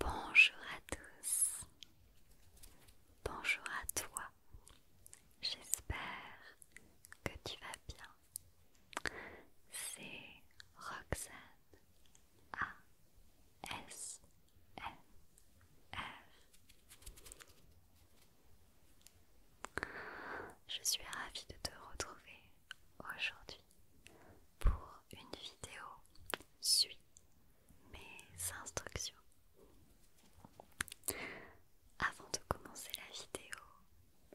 Bonjour à tous, bonjour à toi, j'espère que tu vas bien c'est Roxane A S N F. Je suis ravie de te retrouver aujourd'hui pour une vidéo Suis mes instructions. Avant de commencer la vidéo,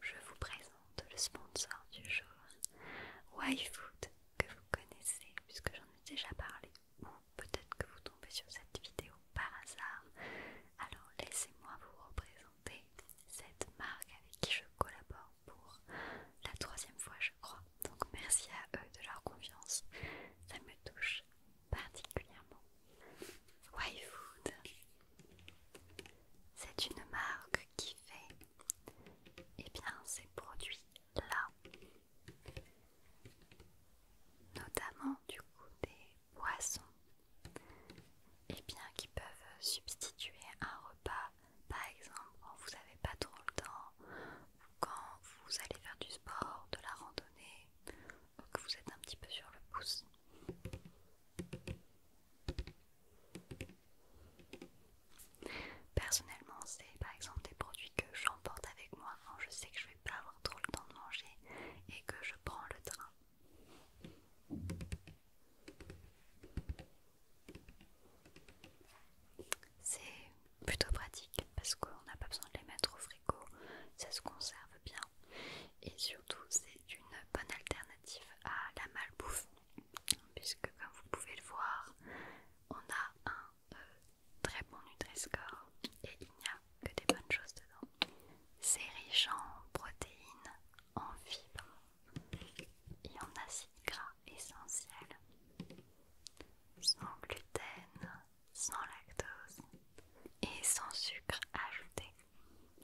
je vous présente le sponsor du jour, YFood, que vous connaissez puisque j'en ai déjà parlé, ou peut-être que vous tombez sur cette vidéo par hasard. Alors laissez-moi vous représenter cette marque avec qui je collabore pour la troisième fois, je crois. Donc merci à eux de leur confiance, ça me touche particulièrement. YFood c'est une marque qui fait eh bien, ces produits-là, notamment du coup des poissons, eh bien, qui peuvent substituer un repas, par exemple quand vous n'avez pas trop le temps, ou quand vous allez faire du sport, de la randonnée, ou que vous êtes un petit peu sur le pouce. Personnellement, c'est par exemple des produits que j'emporte avec moi quand je sais que je vais pas avoir trop le temps de manger et que je prends le train. C'est plutôt pratique parce qu'on n'a pas besoin de les mettre au frigo, ça se conserve bien et surtout c'est une bonne alternative à la malbouffe puisque comme vous pouvez le voir, on a un euh, très bon nutriscore et il n'y a que des bonnes choses dedans. C'est riche en protéines, en fibres et en acides gras essentiels, sans gluten, sans lactose et sans sucre ajouté.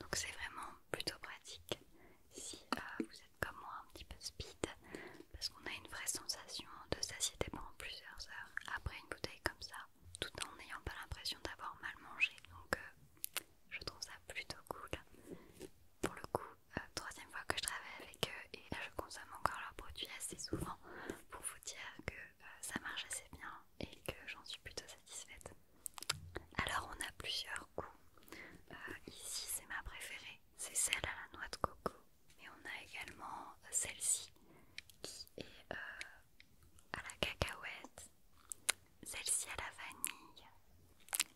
Donc c'est vraiment plutôt pratique si euh, vous êtes comme moi un petit peu speed parce qu'on a une vraie sensation de satiété pendant plusieurs heures après une bouteille comme ça tout en n'ayant pas l'impression d'avoir mal mangé donc euh, je trouve ça plutôt cool pour le coup euh, troisième fois que je travaille avec eux et je consomme encore leurs produits assez souvent pour vous dire que ça marche assez bien et que j'en suis plutôt satisfaite alors on a plusieurs goûts. Euh, ici c'est ma préférée, c'est celle à la noix de coco. Et on a également euh, celle-ci qui est euh, à la cacahuète, celle-ci à la vanille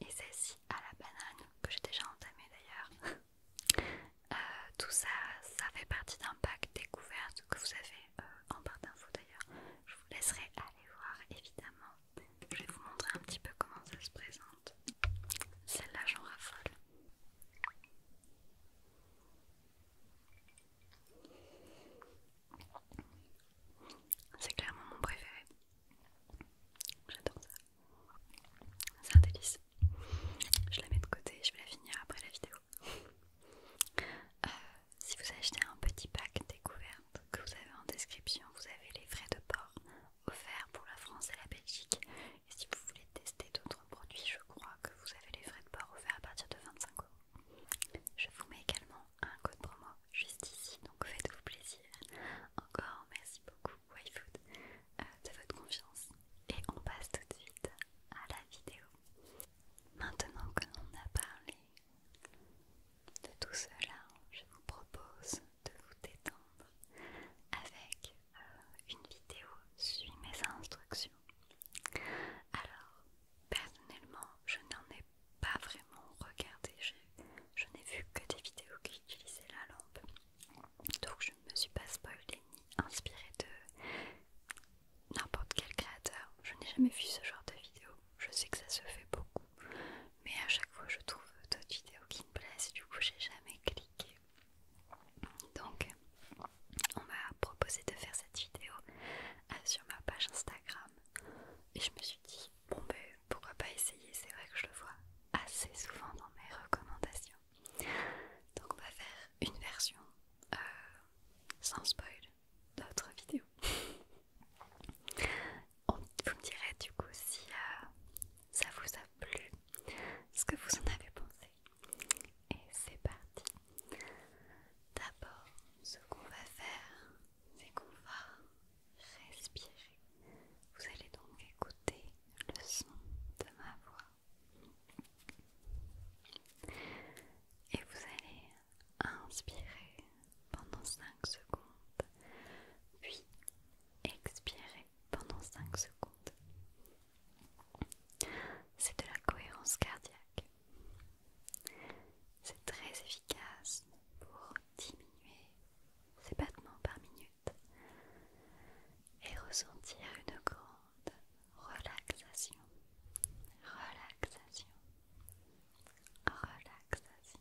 et celle-ci à la banane que j'ai déjà entamée d'ailleurs. tout ça, ça fait partie d'un pack découverte que vous avez en barre d'infos d'ailleurs. Je vous laisserai aller voir évidemment je vais vous montrer un petit peu comment ça se présente. Celle-là, j'en raffole. C'est clairement mon préféré. J'adore ça. C'est un délice. Je la mets de côté, je vais la finir après la vidéo. Euh, si vous achetez un petit pack découvert que vous avez en description, vous avez les frais de port offerts pour la France et la Belgique. Et si vous voulez tester d'autres produits, je crois que vous avez les frais de port offerts à partir de 25 euros. Je vous mets également un code promo juste ici, donc faites-vous plaisir. Encore merci beaucoup Wayfood, euh, de votre confiance. Et on passe tout de suite à la vidéo. Maintenant que l'on a parlé de tout cela, je vous propose de vous détendre avec euh, une vidéo suivie mes instructions. Alors, personnellement, je n'en ai pas vraiment regardé, je, n'ai vu que des vidéos qui utilisaient la lampe. Donc je ne me suis pas spoilée ni inspirée de n'importe quel créateur. Je n'ai jamais vu ce genre de vidéo. Je sais que ça se fait beaucoup mais à chaque fois je trouve d'autres vidéos qui me plaisent, du coup j'ai jamais cliqué. Donc on m'a proposé de faire cette vidéo euh, sur ma page Instagram et je me suis dit bon ben pourquoi pas essayer, c'est vrai que je le vois assez souvent dans mes recommandations. Donc on va faire une version euh, sans spoil d'autres vidéos. On, vous me direz du coup si euh, ça vous a plu, ce que vous en avez pensé. Et c'est parti. D'abord, ce qu'on va faire, c'est qu'on va respirer. Vous allez donc écouter le son de ma voix. Et vous allez inspirer pendant 5 secondes, puis expirez pendant 5 secondes. C'est de la cohérence cardiaque. C'est très efficace pour diminuer ses battements par minute et ressentir une grande relaxation. Relaxation. Relaxation.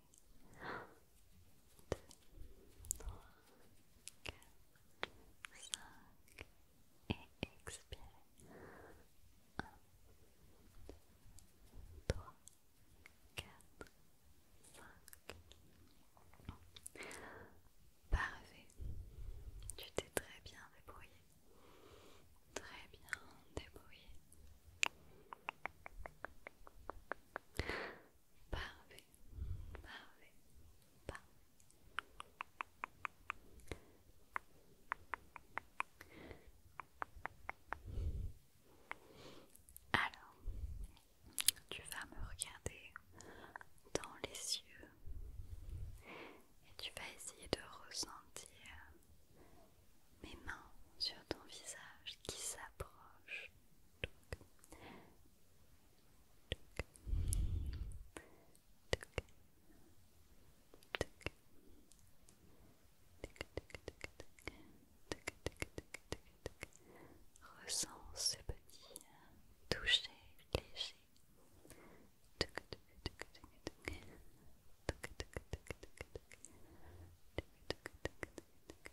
1, 2, 3, 4, 5 et expirez. 1, 2, 3, 4, 5. Parfait. Tu t'es très bien débrouillé. Très bien débrouillé. Parfait, parfait, parfait. Alors, tu vas me regarder dans les yeux et tu vas essayer de ressentir mes mains sur ton visage qui s'approche. Ressens ce petit toucher léger.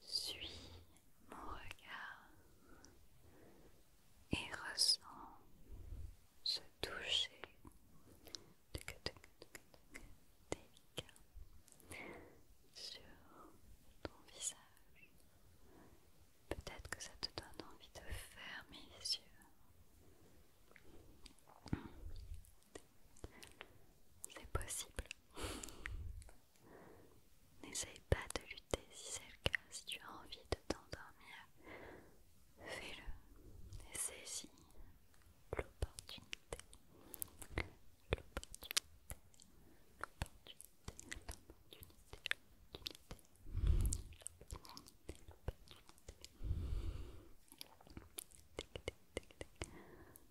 Suis mon regard et ressens ce toucher délicat sur ton visage. Peut-être que ça te donne envie de fermer les yeux c'est possible. N'essaye pas de lutter si c'est le cas. Si tu as envie de t'endormir, fais-le et saisis l'opportunité. L'opportunité, l'opportunité, l'opportunité, l'opportunité,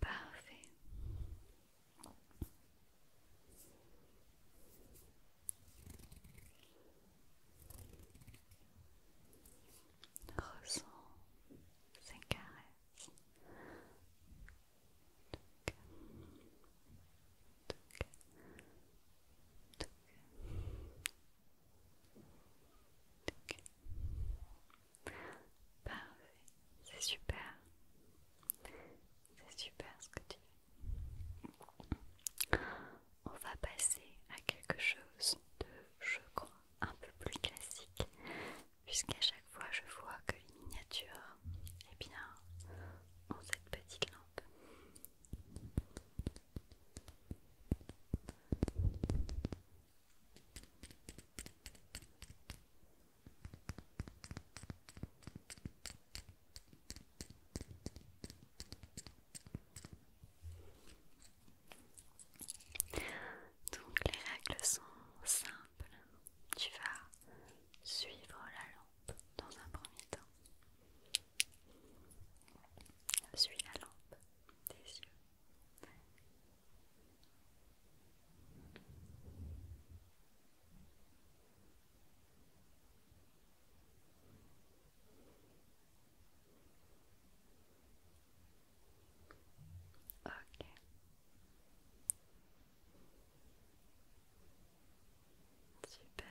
Parfait. Ressens ces caresses. Parfait, c'est super. C'est super ce que tu fais. On va passer à quelque chose de, je crois, un peu plus classique, puisqu'à chaque fois je vois que les miniatures, eh bien, ont cette petite lampe. Donc les règles sont simples. Tu vas suivre la lampe dans un premier temps. Suis la lampe des yeux Ok. Super.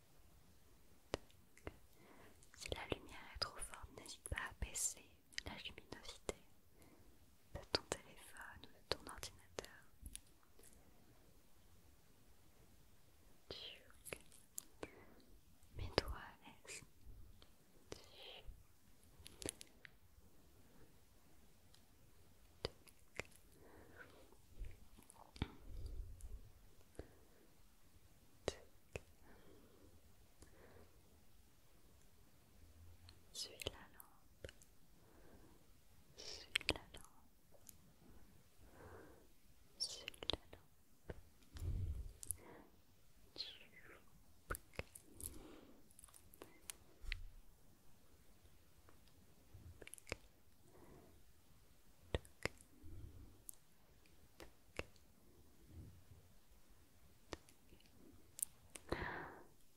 Si la lumière est trop forte, n'hésite pas à baisser la luminosité de ton téléphone ou de ton ordinateur. Mets-toi à suis la lampe. Suis la lampe. Suis la lampe.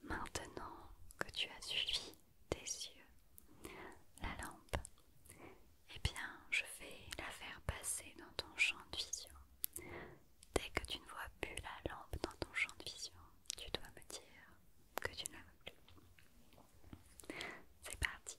Maintenant que tu as suivi tes yeux, la lampe, eh bien je vais la faire passer dans ton champ de vision. Dès que tu ne vois plus la lampe dans ton champ de vision, tu dois me dire que tu ne la vois plus. C'est parti.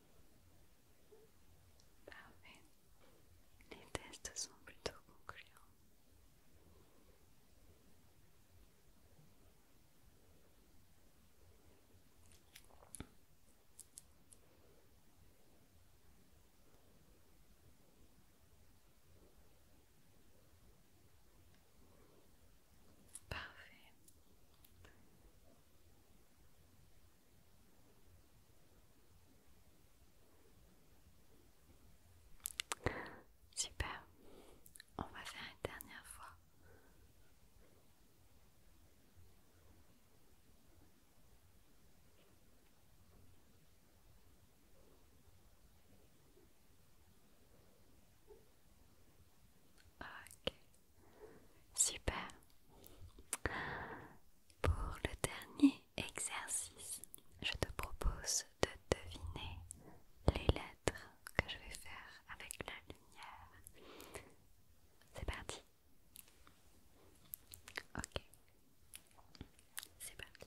Parfait. Ah Les tests sont plutôt concluants. Parfait. Super, on va faire une dernière fois. Ok, Super. Pour le dernier exercice, je te propose de deviner les lettres que je vais faire avec la lumière. C'est parti. Ok. C'est parti.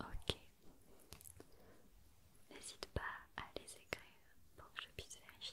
Ok. N'hésite pas à les écrire pour que je puisse vérifier.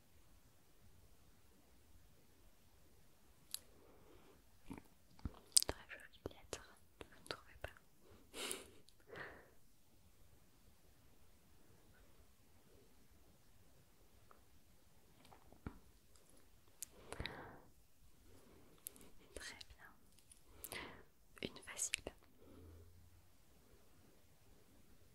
Très jolie lettre, vous ne trouvez pas Très bien. Une facile.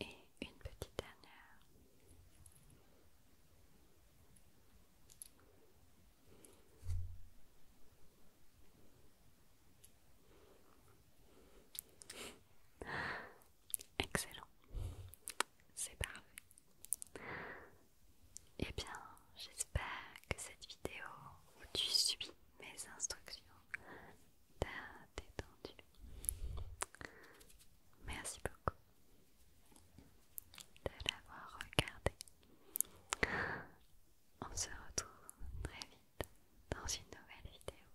Et une petite dernière. Excellent, c'est parfait. Eh bien, j'espère que cette vidéo où tu suis mes instructions t'as détendu. Merci beaucoup de l'avoir regardé. On se retrouve très vite dans une nouvelle vidéo.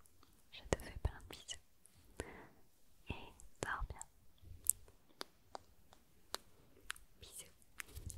Je te fais plein de bisous et dors bien. Bisous.